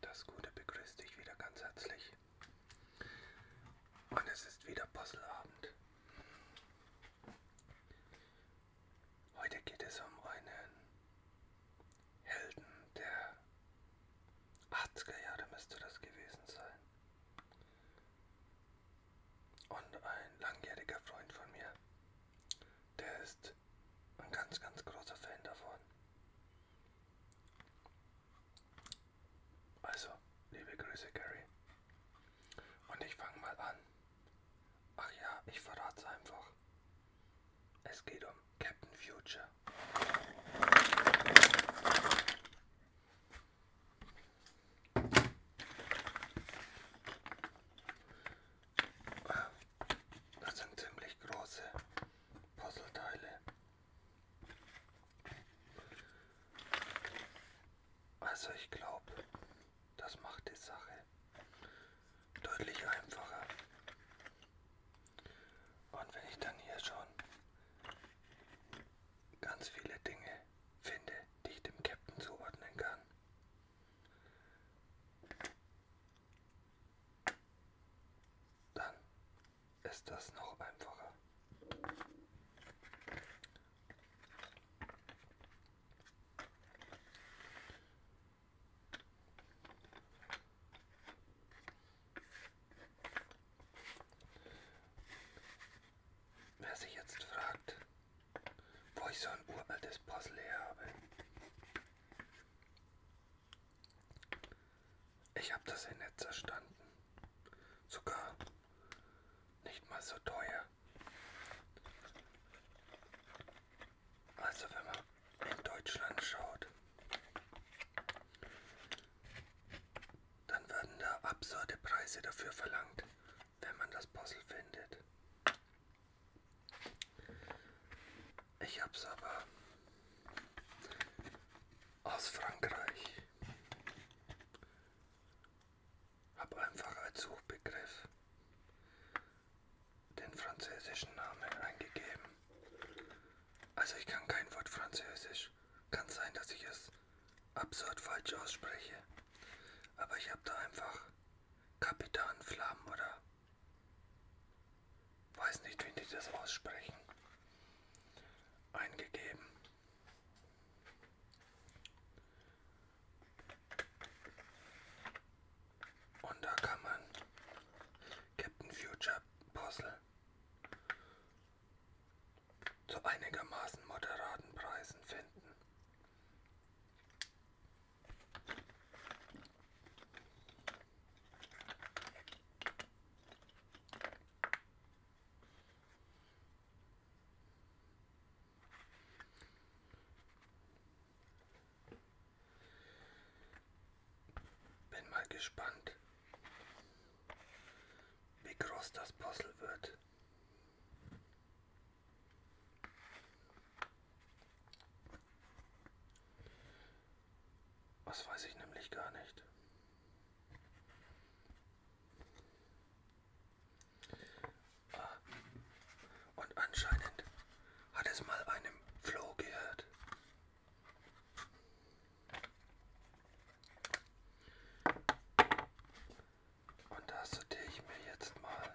Das Gute begrüßt dich wieder ganz herzlich. Und es ist wieder Puzzleabend. Heute geht es um einen Helden der 80er Jahre müsste das gewesen sein. Und ein langjähriger Freund von mir der ist ein ganz, ganz großer Fan davon. Also, liebe Grüße, Gary. Und ich fange mal an. Ach ja, ich verrate es einfach. Es geht um Captain Future. Das sind ziemlich große Puzzleteile. Also ich glaube, das macht die Sache deutlich einfacher. Und wenn ich dann hier schon ganz viele Dinge finde, die ich dem Captain zuordnen kann, dann ist das noch einfacher. Wer sich jetzt fragt, wo ich so ein uraltes Puzzle her habe. Ich habe das ja nicht zerstanden. Sogar nicht mal so teuer. Also wenn man in Deutschland schaut, dann werden da absurde Preise dafür verlangt, wenn man das Puzzle findet. Ich hab's aber aus Frankreich. Hab einfach als Suchbegriff den französischen Namen eingegeben. Also ich kann kein Wort Französisch. Kann sein, dass ich es absurd falsch ausspreche. Aber ich habe da einfach Kapitan Flamm oder weiß nicht, wie die das aussprechen, eingegeben. Und da kann man Captain Future Puzzle zu einigermaßen moderaten Preisen finden. Bin mal gespannt, wie groß das Puzzle wird. Was weiß ich nämlich gar nicht. Ah. Und anscheinend hat es mal einem Floh gehört. Und das sortiere ich mir jetzt mal.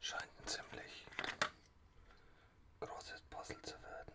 Scheint ein ziemlich großes Puzzle zu werden.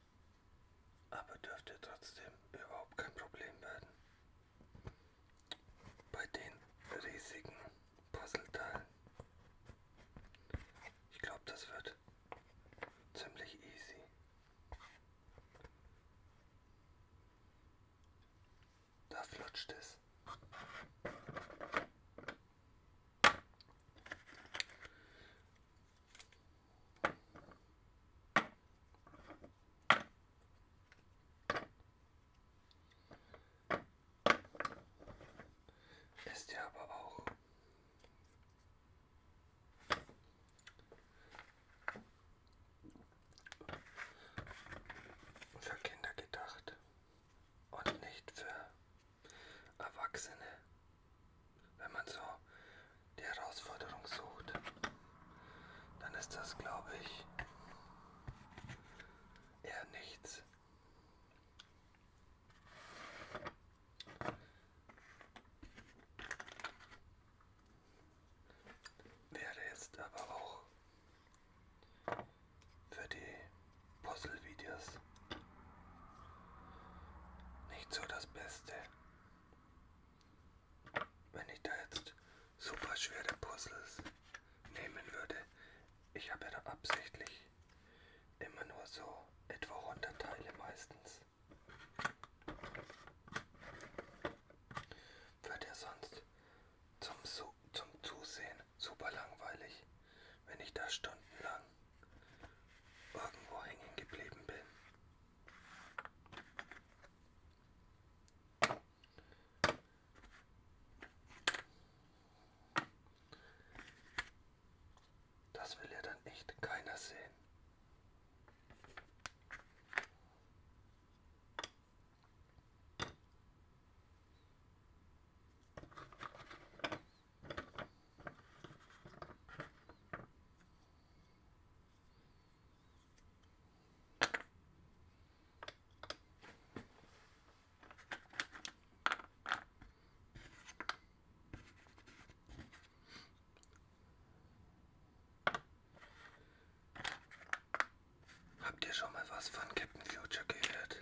aber dürfte trotzdem überhaupt kein Problem werden. Bei den riesigen Puzzleteilen. Ich glaube, das wird ziemlich easy. Da flutscht es. Ist ja aber auch für Kinder gedacht und nicht für Erwachsene wenn man so die Herausforderung sucht, dann ist das, glaube ich, eher nichts. Wäre jetzt aber auch für die Puzzle-Videos nicht so das Beste. Wenn ich da jetzt super schwere Puzzles nehmen würde, ich habe ja da absichtlich immer nur so etwa 100 Teile meistens. Wird ja sonst zum, zum Zusehen super langweilig, wenn ich da stundenlang irgendwo hängen geblieben bin. Das will ja dann echt keiner sehen. Habt ihr schon mal was von Captain Future gehört?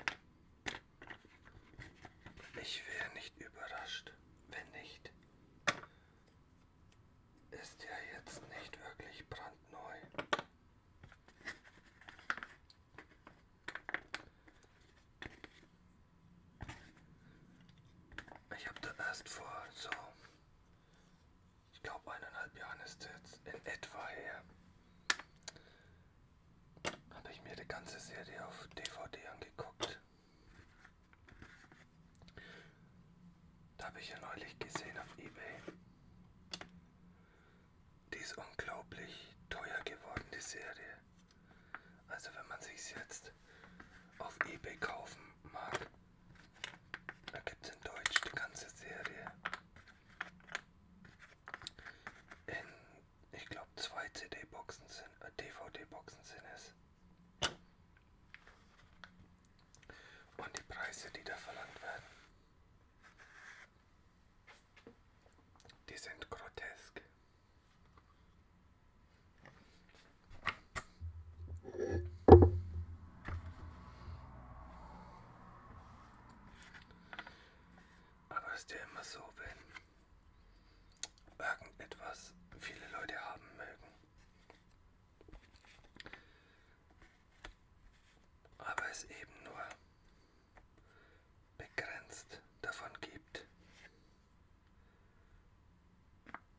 Ich wäre nicht überrascht, wenn nicht ist ja jetzt nicht wirklich brandneu. Ich habe da erst vor so, ich glaube eineinhalb Jahren ist jetzt in etwa her, habe ich mir die ganze Serie auf DVD angeguckt. Da habe ich ja neulich gesehen auf eBay. Die ist unglaublich teuer geworden, die Serie. Also wenn man sich jetzt auf eBay kaufen mag, da gibt es in Deutsch die ganze Serie. In, ich glaube, zwei CD-Boxen sind, äh, DVD-Boxen sind es. Und die Preise, die da verlangt werden, die sind grotesk. Aber es ist ja immer so, wenn irgendetwas viele Leute haben mögen. Aber es eben nur begrenzt davon gibt,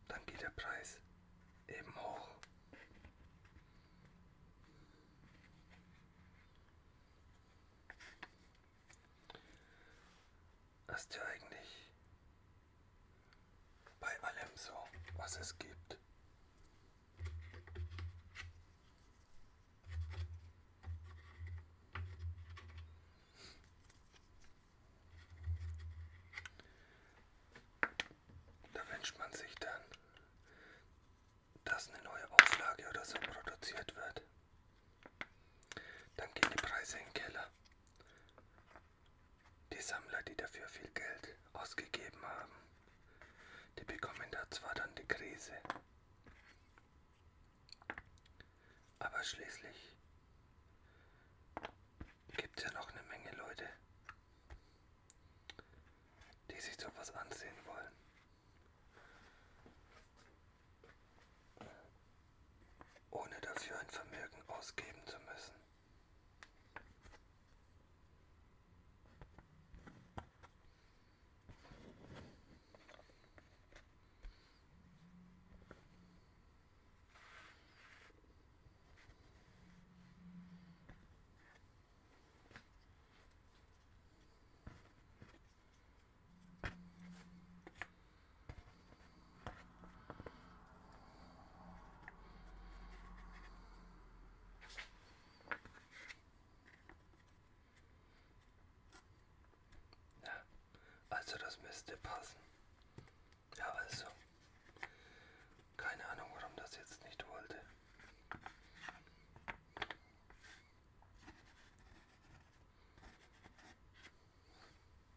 dann geht der Preis eben hoch ist ja eigentlich bei allem so, was es gibt. Da wünscht man sich dann, dass eine neue Auflage oder so produziert wird. Dann gehen die Preise in den Keller. Die Sammler, die dafür viel Geld ausgegeben haben, die bekommen da zwar dann die Krise, aber schließlich gibt es ja noch eine Menge Leute, die sich sowas ansehen wollen ohne dafür ein Vermögen ausgeben zu müssen. Ja, also das müsste passen. Ja, aber ist so. Keine Ahnung, warum das jetzt nicht wollte.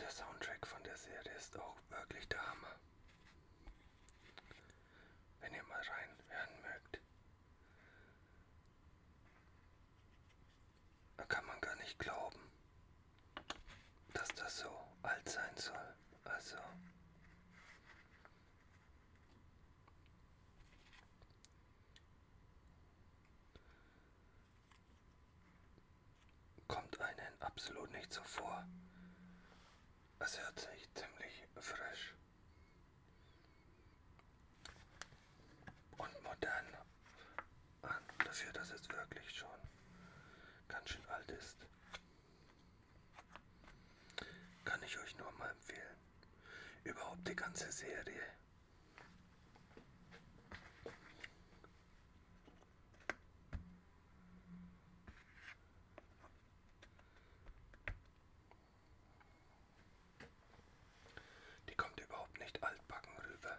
Der Soundtrack von der Serie ist auch wirklich der Hammer. Wenn ihr mal reinhören mögt, da kann man gar nicht glauben, dass das so alt sein soll. Also. Kommt einen absolut nicht so vor. Es hört sich ziemlich frisch und modern an, ah, dafür, dass es wirklich schon ganz schön alt ist. Kann ich euch nur mal empfehlen. Überhaupt die ganze Serie. Die kommt überhaupt nicht altbacken rüber.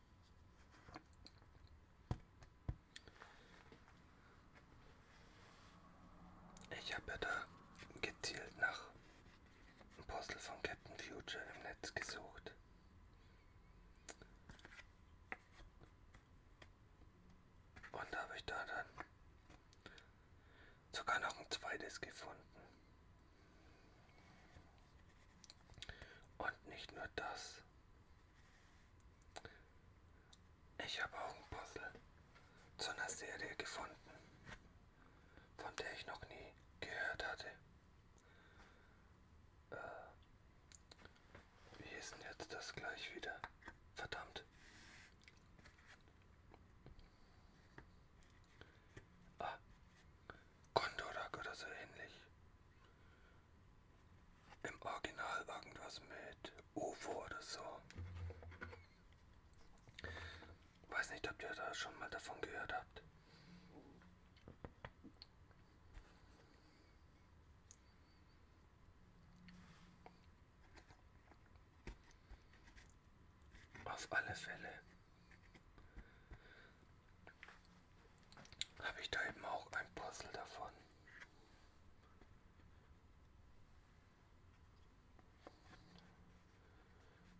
Ich habe ja da gezielt nach einem Puzzle von Captain Future im Netz gesucht. Und da habe ich da dann sogar noch ein zweites gefunden. Und nicht nur das, ich habe auch ein Puzzle zu einer Serie gefunden, von der ich noch nie gehört hatte. Äh, wie ist denn jetzt das gleich wieder? Verdammt. Ah, Kondorak oder so ähnlich im Original irgendwas mit UFO oder so. Weiß nicht, ob ihr da schon mal davon gehört habt. Auf alle Fälle habe ich da eben auch ein Puzzle davon.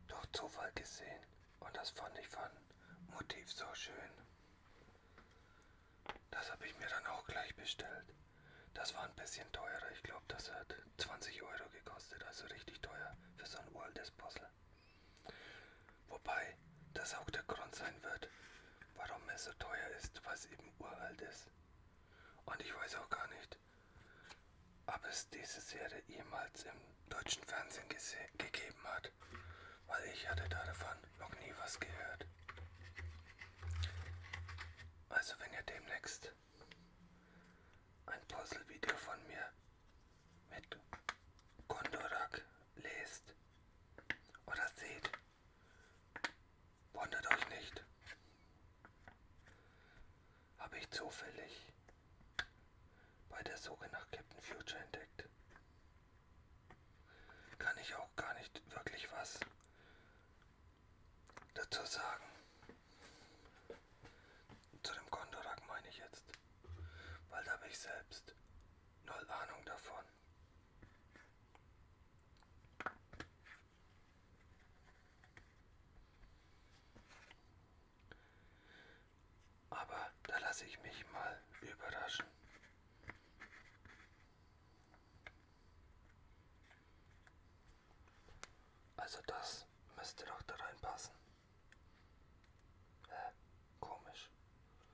Durch Zufall gesehen und das fand ich von Motiv so schön. Das habe ich mir dann auch gleich bestellt. Das war ein bisschen teurer. Ich glaube, das hat 20 Euro gekostet. Also richtig teuer für so ein uraltes Puzzle. Wobei das auch der Grund sein wird, warum es so teuer ist, was eben uralt ist. Und ich weiß auch gar nicht, ob es diese Serie jemals im deutschen Fernsehen gegeben hat, weil ich hatte davon noch nie was gehört. Also wenn ihr demnächst ein Puzzle-Video von mir mit Kondorak lest oder seht, wundert euch nicht. Habe ich zufällig bei der Suche nach Captain Future entdeckt. Kann ich auch gar nicht wirklich was dazu sagen. Zu dem Kondorak meine ich jetzt, weil da habe ich selbst null Ahnung davon. Aber da lasse ich mich mal überraschen. Also das müsste doch da reinpassen. Äh, komisch.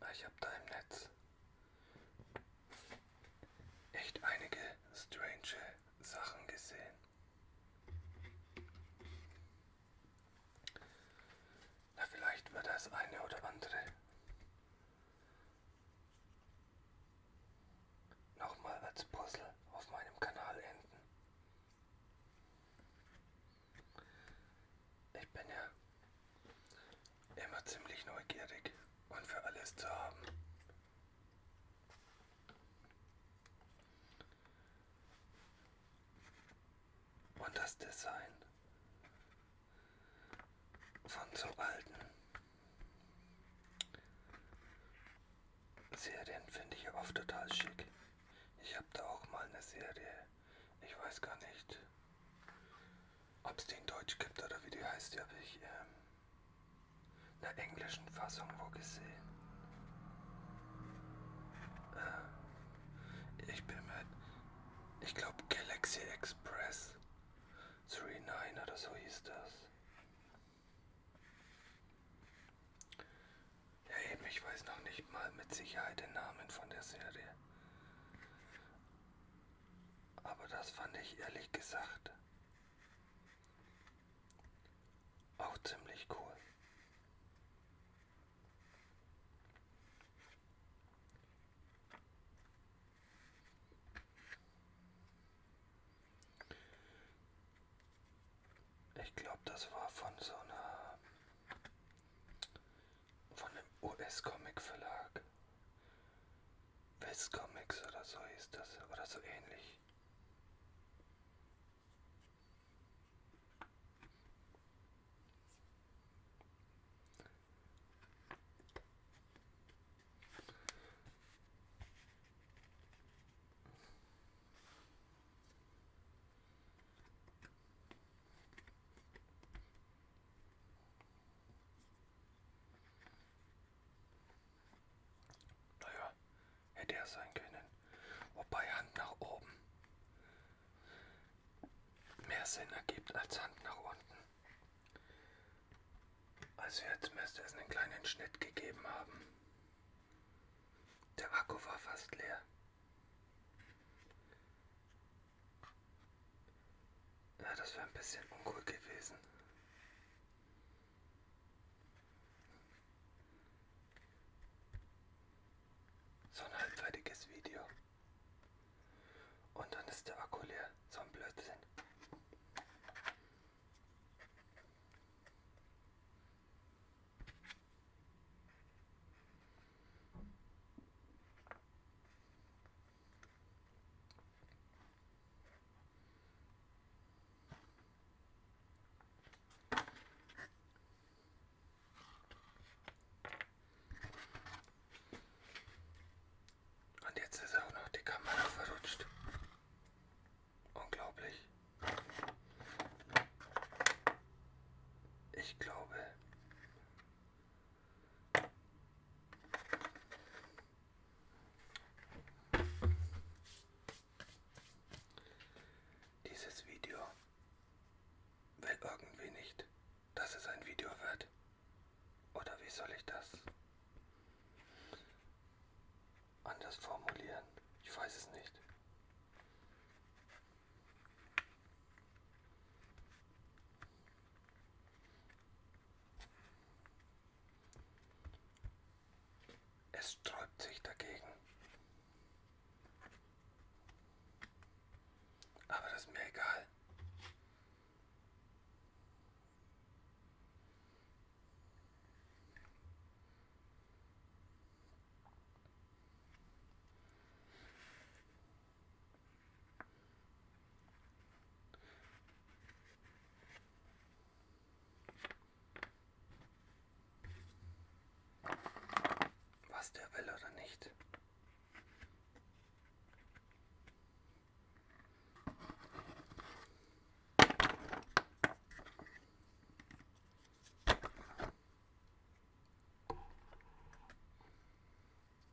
Ah, ich habe da im Netz echt einige strange Sachen gesehen. Na, vielleicht wird das eine oder andere nochmal als Puzzle auf meinem Kanal enden. Ich bin ja immer ziemlich neugierig und für alles zu haben. Und das Design von so alten Serien finde ich oft total schick. Ich habe da auch mal eine Serie, ich weiß gar nicht, ob es den Deutsch gibt oder wie die heißt, die habe ich ähm, in der englischen Fassung wo gesehen. Äh, ich bin mit, ich glaube Galaxy Express 39 oder so hieß das. Ja eben, ich weiß noch nicht mal mit Sicherheit den Namen von der Serie aber das fand ich ehrlich gesagt auch ziemlich cool. Ich glaube, das war von so einer von einem US-Comic-Verlag. West Comics oder so ist das, oder so ähnlich. Naja, hätte er sein können. Wobei Hand nach oben mehr Sinn ergibt als Hand nach unten. Also jetzt müsste es einen kleinen Schnitt gegeben haben. Der Akku war fast leer. Ja, das wäre ein bisschen uncool gewesen. So ein halbfertiges Video. Und dann ist der Akku leer. So ein Blödsinn. Und jetzt ist auch noch die Kamera verrutscht. Unglaublich. Ich glaube, dieses Video will irgendwie nicht, dass es ein Video wird. Oder wie soll ich das anders formulieren? Ich weiß es nicht. Es sträubt sich dagegen. Aber das ist mir egal. Was der will oder nicht.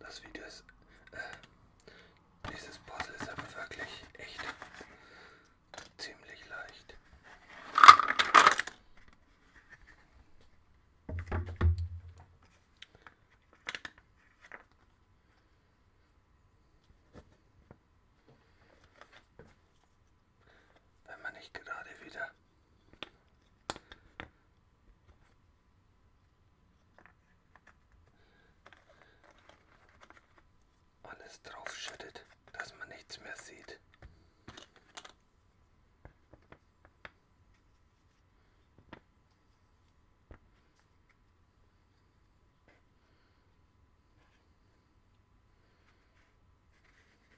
Das Video ist, äh, dieses Puzzle ist aber wirklich echt ziemlich leicht wenn man nicht gerade wieder alles draufschüttet, dass man nichts mehr sieht.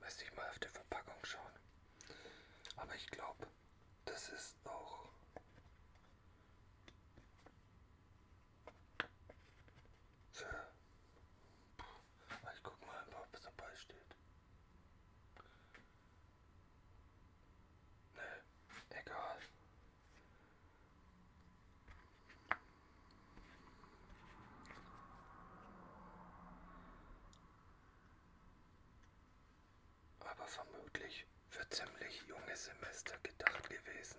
Müsste ich mal auf die Verpackung schauen. Aber ich glaube, das ist auch. Für ich guck mal, ob es dabei steht. Ne, egal. Aber vermutlich für ziemlich junge Semester gedacht gewesen.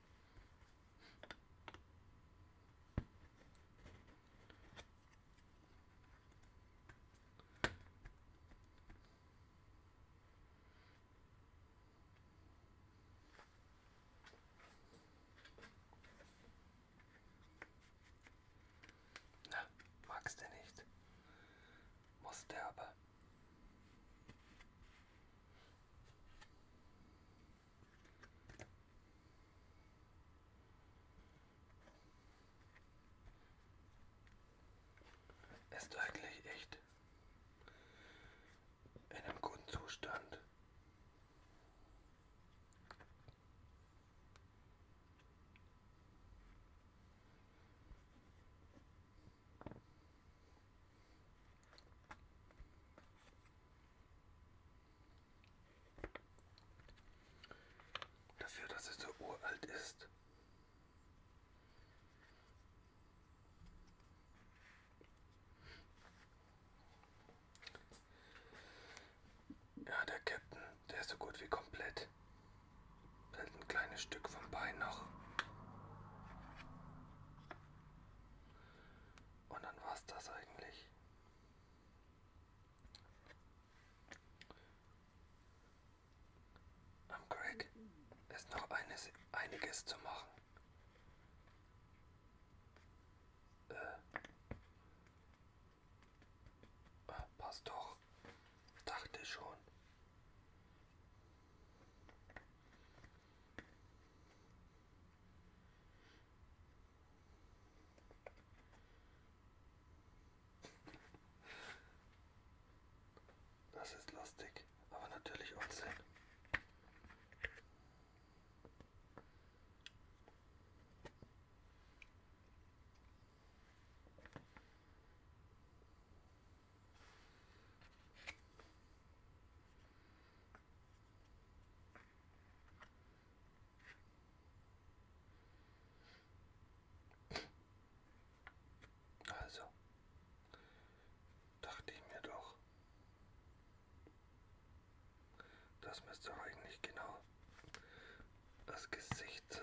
Na, magst du nicht? Musste aber. Ist eigentlich echt in einem guten Zustand. Dafür, dass es so uralt ist. Ja, der Captain, der ist so gut wie komplett. Fällt ein kleines Stück vom Bein noch. Und dann war es das eigentlich. Am Craig ist noch eines, einiges zu machen. Äh. Ah, passt doch. Dachte schon. Das ist lustig, aber natürlich Unsinn. Also dachte ich mir doch, das müsste doch eigentlich genau das Gesicht sein.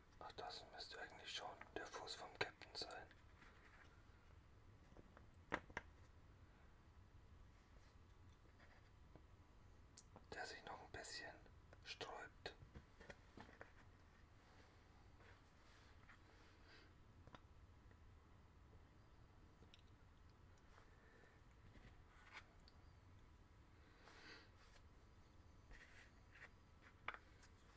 Ach, das müsste eigentlich schon der Fuß vom Captain sein. Der sich noch ein bisschen sträubt.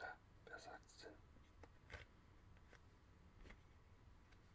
Na, wer sagt's denn?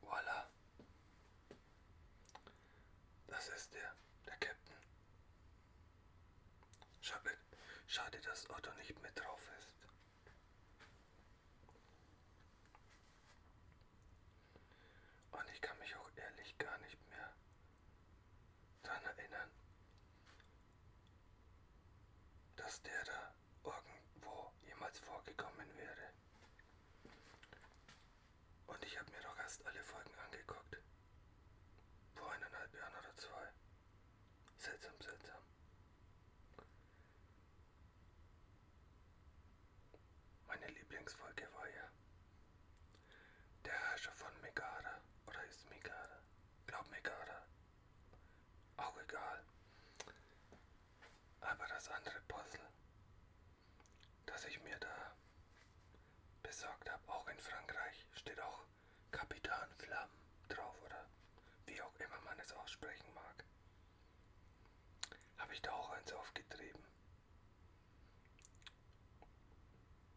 Voila. Das ist der, der Captain. Schade, schade, dass Otto nicht mit drauf ist. Und ich kann mich auch ehrlich gar nicht mehr daran erinnern, dass der da irgendwo jemals vorgekommen wäre. Und ich habe mir doch erst alle Folgen angeguckt. Vor eineinhalb Jahren oder zwei. Seltsam, seltsam. Meine Lieblingsfolge war ja der Herrscher von Megara oder ist Megara? Glaub Megara. Auch egal. Aber das andere Puzzle, das ich mir da besorgt habe, auch in Frankreich, steht auch Kapitan Flamme drauf oder wie auch immer man es aussprechen mag habe ich da auch eins aufgetrieben.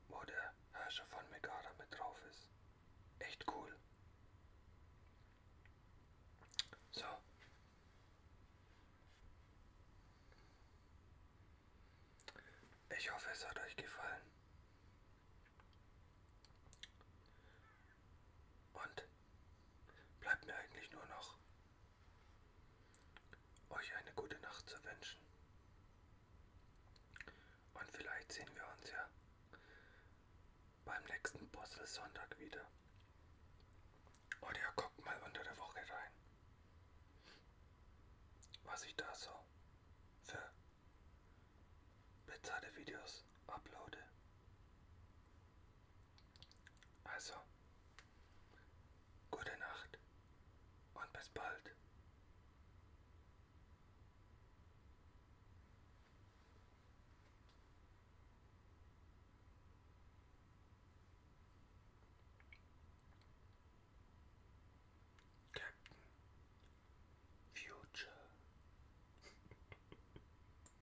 Wo der Herrscher von Megara mit drauf ist. Echt cool. So. Ich hoffe, es hat euch gefallen. Und bleibt mir eigentlich nur noch, euch eine gute Nacht zu wünschen. Und vielleicht sehen wir uns ja beim nächsten Postel Sonntag wieder. Oder ihr guckt mal unter der Woche rein, was ich da so für bezahlte Videos uploade. Also, gute Nacht und bis bald. Captain Future.